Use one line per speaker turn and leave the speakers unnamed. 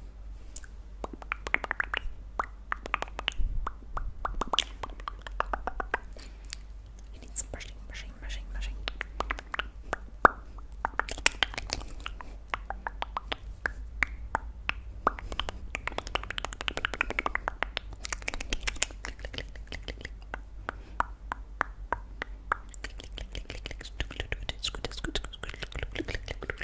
I need some brushing, brushing, brushing, brushing.